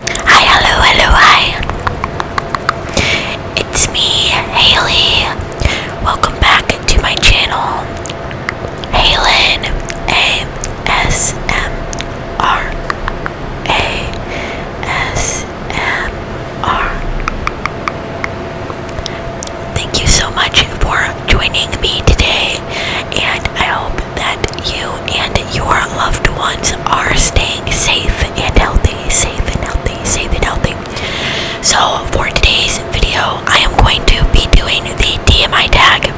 Hi, hello, hello, hi. It's me, Haley. Welcome back to my channel, Halen Thank you so much for joining me today, and I hope that you and your loved ones are staying safe and healthy, safe and healthy, safe and healthy. So, for today's video, I am going to be doing the DMI tag.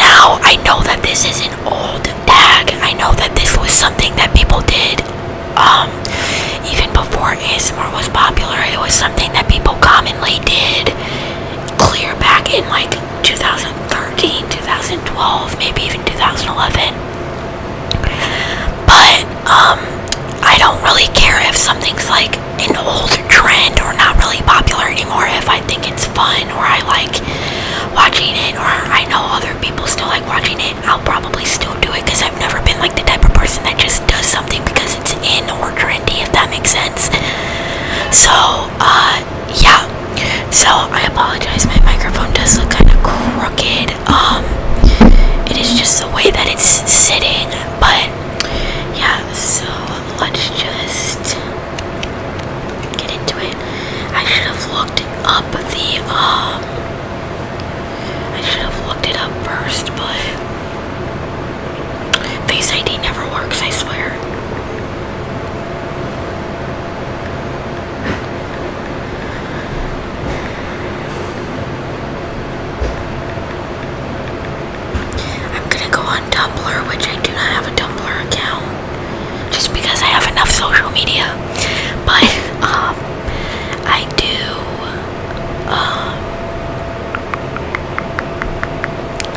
Now, I know that this is an old tag, I know that this was something that people did. Um, even before ASMR was popular, it was something that people commonly did clear back in like 2013, 2012, maybe even 2011. But um, I don't really care if something's like an old trend or not really popular anymore if I think it's fun or I like watching it or I know other people still like watching it. I'll probably still do it because I've never been like the type of person that just does something because it's in order and D. if that makes sense. So, uh, yeah, so I apologize. My microphone does look kind of crooked. Um, it is just the way that it's sitting, but yeah, so let's just get into it. I should have looked up the, um, I should have looked it up first, but Face ID never works, I swear. I'm gonna go on Tumblr, which I do not have a Tumblr account, just because I have enough social media. But um, I do. Um,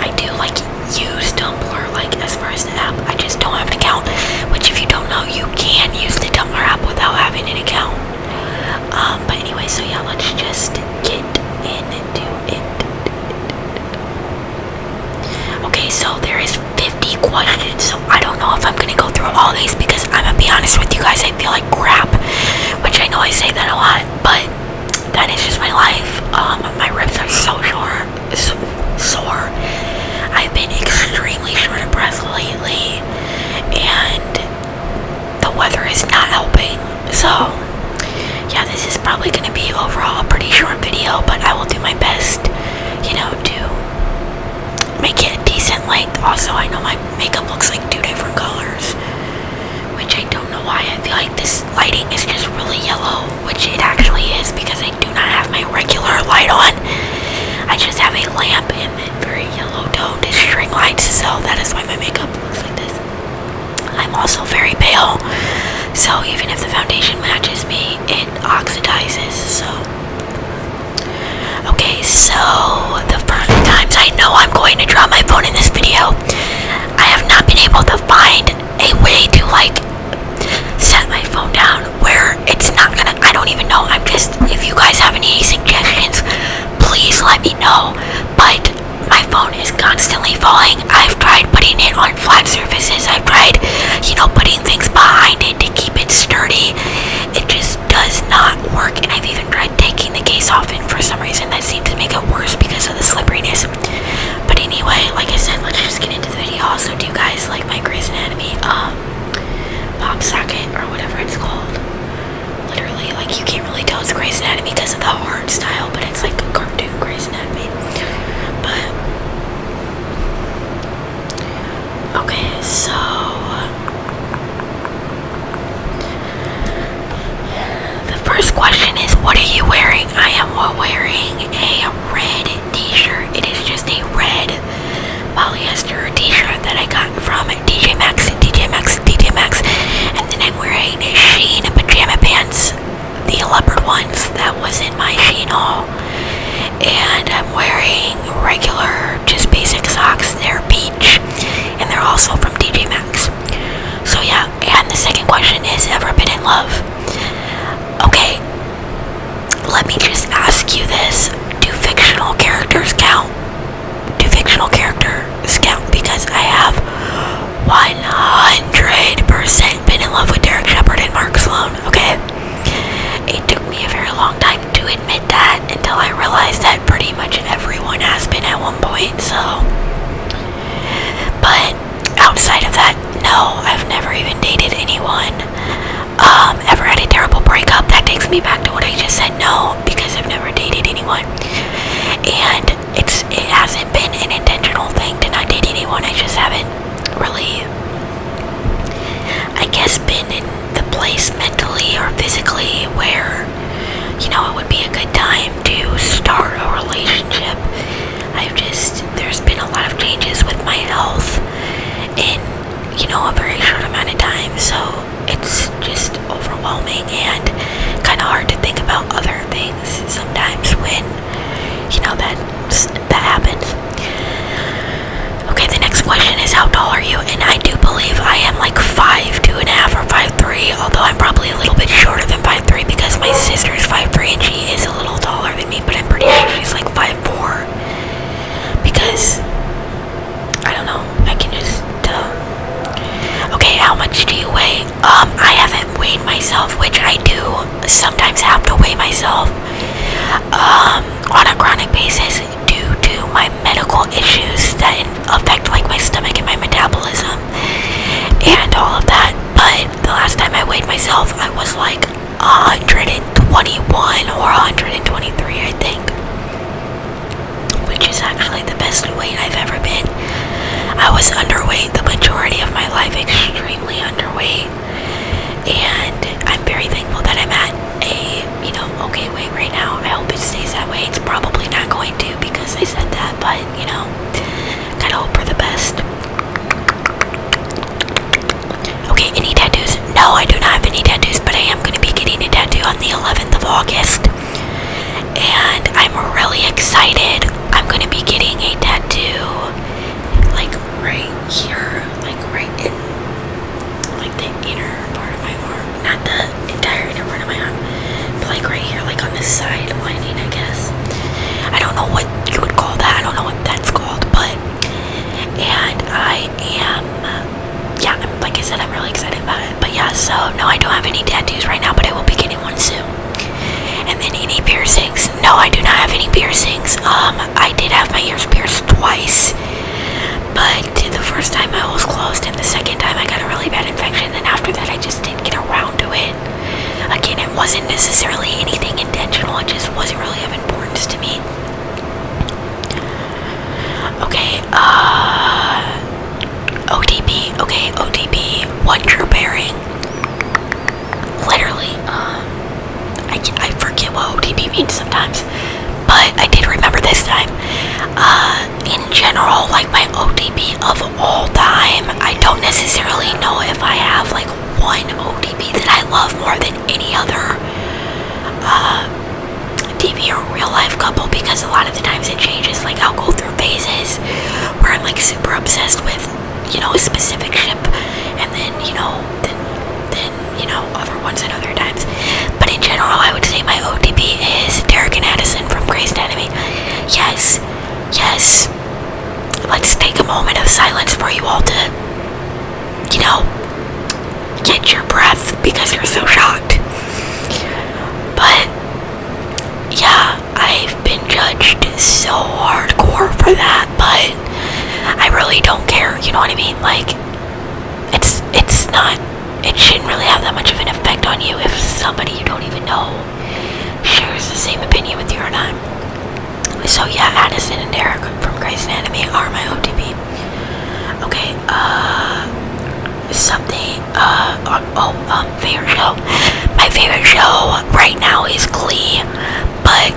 I do like use Tumblr, like as far as the app. I just don't have an account, which if you don't know, you can use the Tumblr app without having an account. Um, but anyway, so yeah, let's just get into it. Okay, so there is 50 questions, so I don't know if I'm gonna go through all these because I'm gonna be honest with you guys, I feel like crap, which I know I say that a lot, but that is just my life. Um, my ribs are so short. So sore. I've been extremely short of breath lately, and the weather is not helping. So, yeah, this is probably going to be overall a pretty short video, but I will do my best, you know, to make it a decent length. Also, I know my makeup looks like two different colors, which I don't know why. I feel like this lighting is just really yellow, which it actually is because I I do not have my regular light on. I just have a lamp and a very yellow toned string light, so that is why my makeup looks like this. I'm also very pale, so even if the foundation matches me, it oxidizes. So, okay, so the first times I know I'm going to drop my phone in this video, I have not been able to find a way to like set my phone down where it's not gonna I don't even know I'm just if you guys have any suggestions please let me know but my phone is constantly falling I've tried putting it on flat surfaces I've tried you know putting things behind it to keep it sturdy it just does not work and I've even tried taking the case off and for some reason that seems to make it worse because of the slipperiness but anyway, like I said, let's just get into the video. Also, do you guys like my Grey's Anatomy um pop socket or whatever it's called? Literally, like you can't really tell it's Grey's Anatomy because of the art style, but it's like a cartoon Grey's Anatomy. But okay, so the first question is, what are you wearing? I am wearing a red t-shirt. It is just a red polyester t-shirt that I got from DJ Maxx, DJ Maxx, DJ Maxx. And then I'm wearing a Sheen pajama pants, the leopard ones that was in my Sheen haul. And I'm wearing regular, just basic socks. They're peach. And they're also from DJ Maxx. So yeah, and the second question is, ever been in love? Okay, let me just ask you this do fictional characters count? Do fictional characters count? Because I have 100% been in love with Derek Shepard and Mark Sloan, okay? It took me a very long time to admit that until I realized that pretty much everyone has been at one point, so. But outside of that, no, I've never even dated anyone. Um, ever had a terrible breakup? That takes me back to what I just said. No, because I've never dated anyone, and it's it hasn't been an intentional thing to not date anyone. I just haven't really, I guess, been in the place mentally or physically where you know it would be a good time to start a relationship. I've just, there's been a lot of changes with my health in, you know, a very short amount of time. So it's just overwhelming and kind of hard to think about other things sometimes when, you know, that, that happens. Okay, the next question is how tall are you? And I do believe I am like five, two and a half, or five three, although I'm probably a little bit shorter than 5'3 5'3 because my sister's 5'3 and she is a little taller than me, but I'm pretty sure she's like 5'4 because I don't know, I can just Okay, how much do you weigh? Um, I haven't weighed myself, which I do sometimes have to weigh myself um, on a chronic basis due to my medical issues that affect like my stomach and my metabolism and all of that. But the last time I weighed myself, I was like 121 or 123, I think, which is actually the best weight I've ever been. I was underweight the majority of my life, extremely underweight, and I'm very thankful that I'm at a you know okay weight right now. I hope it stays that way. It's probably not going to because I said that, but you know, gotta hope for the best. Okay, any tattoos? No, I do not have any tattoos, but I am gonna be getting a tattoo on the 11th of August, and I'm really excited. I'm gonna be getting a tattoo like right here, like right in like the inner part of my arm, not the entire inner part part of like right here, like on this side lining, I guess. I don't know what you would call that. I don't know what that's called, but and I am, yeah. like I said, I'm really excited about it. But yeah, so no, I don't have any tattoos right now, but I will be getting one soon. And then any piercings? No, I do not have any piercings. Um, I did have my ears pierced twice, but the first time my was closed, and the second time I got a really bad infection. And after that, I just didn't get around to it. Again, it wasn't necessarily anything intentional, it just wasn't really of importance to me. Okay, uh. OTP, okay, OTP, one true pairing. Literally, um, I, I forget what OTP means sometimes, but I did remember this time. Uh, in general, like my OTP of all time, I don't necessarily know if I have like one OTP that I love more than any other uh, TV or real life couple because a lot of the times it changes. Like I'll go through phases where I'm like super obsessed with you know a specific ship, and then you know then you know other ones at other times. But in general, I would say my OTP is Derek and Addison from Grey's Anatomy. Yes, Yes. Let's take a moment of silence for you all to, you know, get your breath because you're so shocked. But, yeah, I've been judged so hardcore for that, but I really don't care, you know what I mean? Like, it's, it's not, it shouldn't really have that much of an effect on you if somebody you don't even know shares the same opinion with you and I. So yeah, Addison and Derek from Grey's Anatomy are my OTP. Okay, uh, something, uh, oh, oh, um, favorite show. My favorite show right now is Glee, but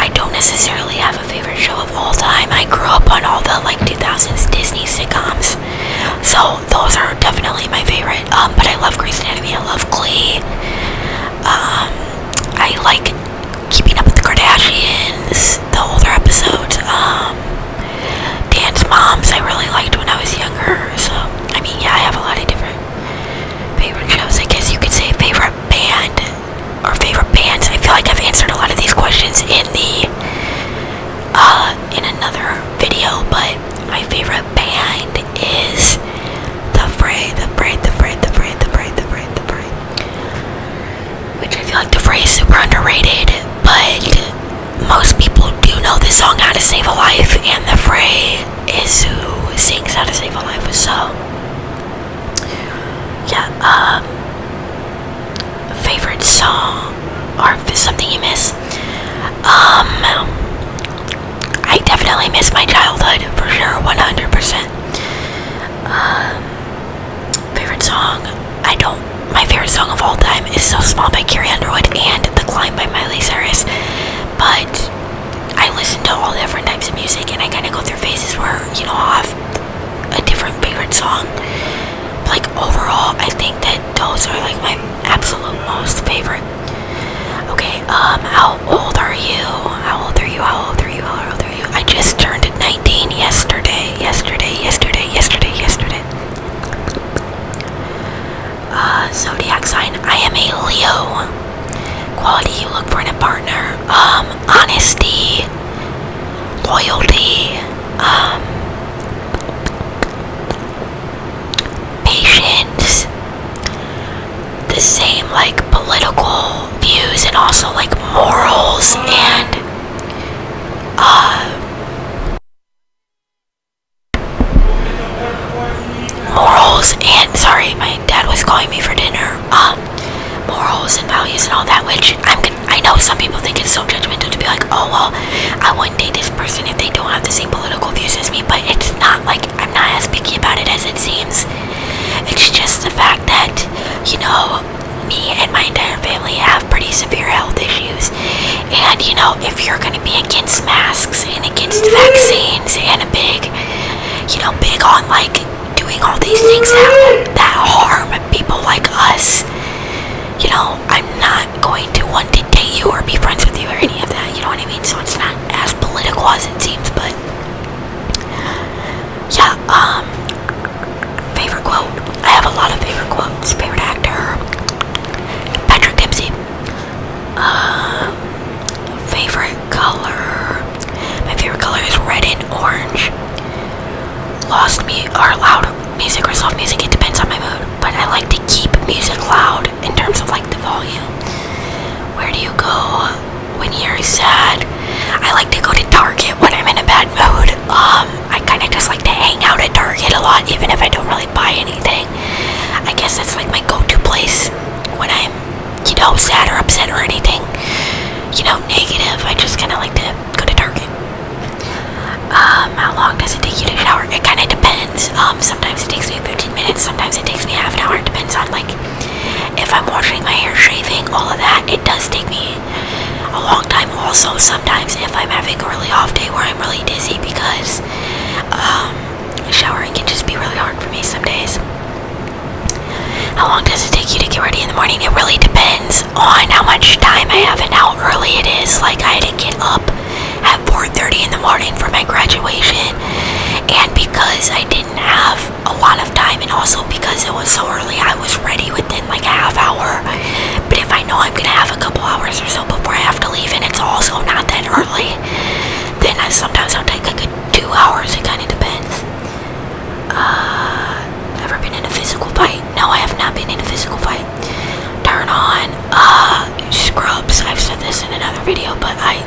I don't necessarily have a favorite show of all time. I grew up on all the, like, 2000s Disney sitcoms. So those are definitely my favorite. Um, but I love *Grease* Grey's Anatomy. I love Glee. Um, I like Keeping Up with the Kardashians. The older episodes. Um, Dance Moms. I really liked when I was younger. So I mean, yeah, I have a lot of different favorite shows. I guess you could say favorite band or favorite bands. I feel like I've answered a lot of these questions in the uh, in another video, but my favorite band is The Fray, The Fray, The Fray, The Fray, The Fray, The Fray, The Fray. Which I feel like The Fray is super underrated, but most people do know the song How to Save a Life, and The Fray is who sings How to Save a Life, so yeah, um, favorite song or something you miss. Um, I definitely miss my childhood for sure, 100%. Um, favorite song? I don't. My favorite song of all time is "So Small" by Carrie Underwood and "The Climb" by Miley Cyrus, but I listen to all different types of music, and I kind of go through phases where you know i have a different favorite song. Like overall, I think that those are like my absolute most favorite. Okay, um, how old are you? How old are you? How old are you? How old are you? I just turned 19 yesterday, yesterday, yesterday, yesterday, yesterday. Uh, zodiac sign. I am a Leo. Quality you look for in a partner. Um, honesty, loyalty, um, patience, the same like political views and also like morals and uh morals and sorry my dad was calling me for dinner um morals and values and all that which I'm I know some people think it's so judgmental to be like oh well I want wouldn't date this person if they don't have the same political views as me, but it's not like I'm not as picky about it as it seems. It's just the fact that, you know, me and my entire family have pretty severe health issues. And, you know, if you're going to be against masks and against vaccines and a big, you know, big on like doing all these things that, that harm people like us. You know, I'm not going to want to date you or be friends with you or any of that. You know what I mean? So it's not as political as it seems, but yeah. Um, favorite quote. I have a lot of favorite quotes. Favorite actor. Patrick Dempsey. Um, favorite color. My favorite color is red and orange lost me or loud music or soft music. It depends on my mood, but I like to keep music loud in terms of like the volume. Where do you go when you're sad? I like to go to Target when I'm in a bad mood. Um, I kind of just like to hang out at Target a lot, even if I don't really buy anything. I guess that's like my go-to place when I'm, you know, sad or upset or anything, you know, negative. I just kind of like to go to Target. Um, how long does it take you to shower? It kind of depends. Um, sometimes it takes me 15 minutes, sometimes it takes me half an hour. It depends on, like, if I'm washing my hair, shaving, all of that. It does take me a long time. Also, sometimes if I'm having a really off day where I'm really dizzy because, um, showering can just be really hard for me some days. How long does it take you to get ready in the morning? It really depends on how much time I have and how early it is. Like I had to get up at 4:30 in the morning for my graduation, and because I didn't have a lot of time, and also because it was so early, I was ready within like a half hour. But if I know I'm gonna have a couple hours or so before I have to leave, and it's also not that early, then I sometimes I'll take like two hours. It kind of depends. Uh, ever been in a physical fight? No, I have not been in a physical fight. Turn on uh, scrubs. I've said this in another video, but I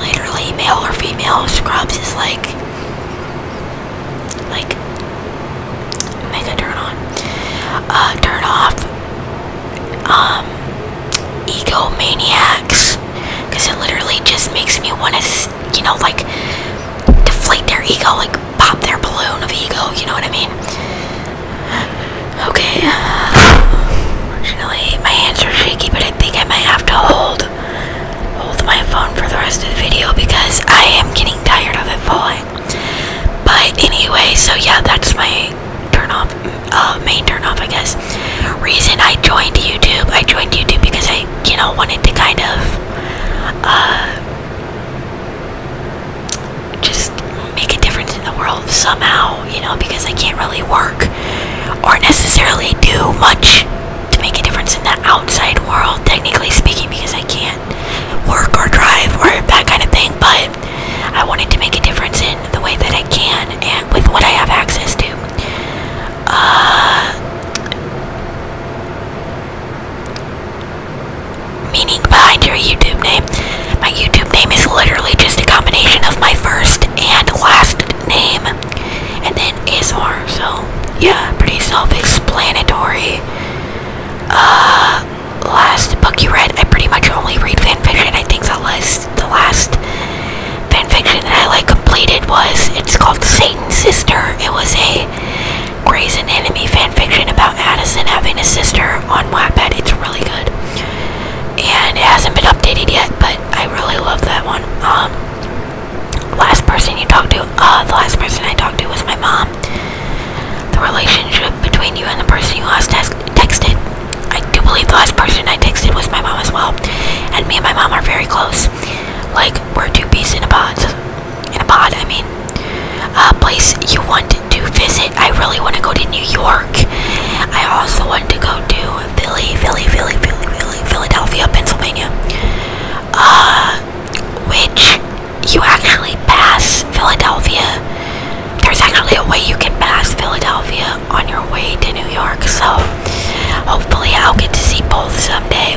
literally male or female scrubs is like like make a turn on. Uh, turn off um egomaniacs because it literally just makes me want to you know like deflate their ego like pop their balloon of you know what I mean? Okay, unfortunately, my hands are shaky, but I think I might have to hold hold my phone for the rest of the video because I am getting tired of it falling. But anyway, so yeah, that's my turn off, uh, main turn off, I guess. Reason I joined YouTube, I joined YouTube because I, you know, wanted to kind of, uh, just make a difference in the world somehow, you know, because I can't really work or necessarily do much to make a difference in the outside world, technically speaking, because I can't work or drive or that kind of thing, but I wanted to make a difference in the way that I can and with what I have access to. Uh meaning behind your YouTube name. My YouTube name is literally just a combination of my first and last name, and then ASMR. So yeah, pretty self-explanatory. Uh, last book you read, I pretty much only read fanfiction. I think the last, the last fanfiction that I like completed was it's called Satan's Sister. It was a Grey's Anatomy fanfiction about Addison having a sister on Wattpad. It's really good. And it hasn't been updated yet, but I really love that one. Um, last person you talked to, uh, the last person I talked to was my mom. The relationship between you and the person you last text texted. I do believe the last person I texted was my mom as well. And me and my mom are very close. Like, we're two peas in a pod in a pod, I mean, a place you want to visit. I really want to go to New York. I also want to go to Philly, Philly, Philly, Philly, Philly, Philadelphia, Pennsylvania. Uh, which you actually pass Philadelphia. There's actually a way you can pass Philadelphia on your way to New York, so hopefully I'll get to see both someday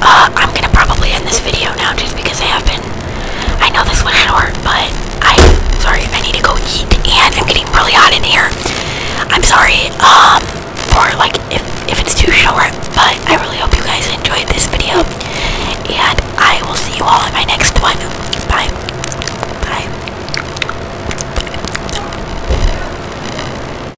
Uh, I'm gonna probably end this video now just because I have been. I know this went short, but I'm sorry. I need to go eat, and I'm getting really hot in here. I'm sorry um, for like if if it's too short, but I really hope you guys enjoyed this video, and I will see you all in my next one. Bye. Bye.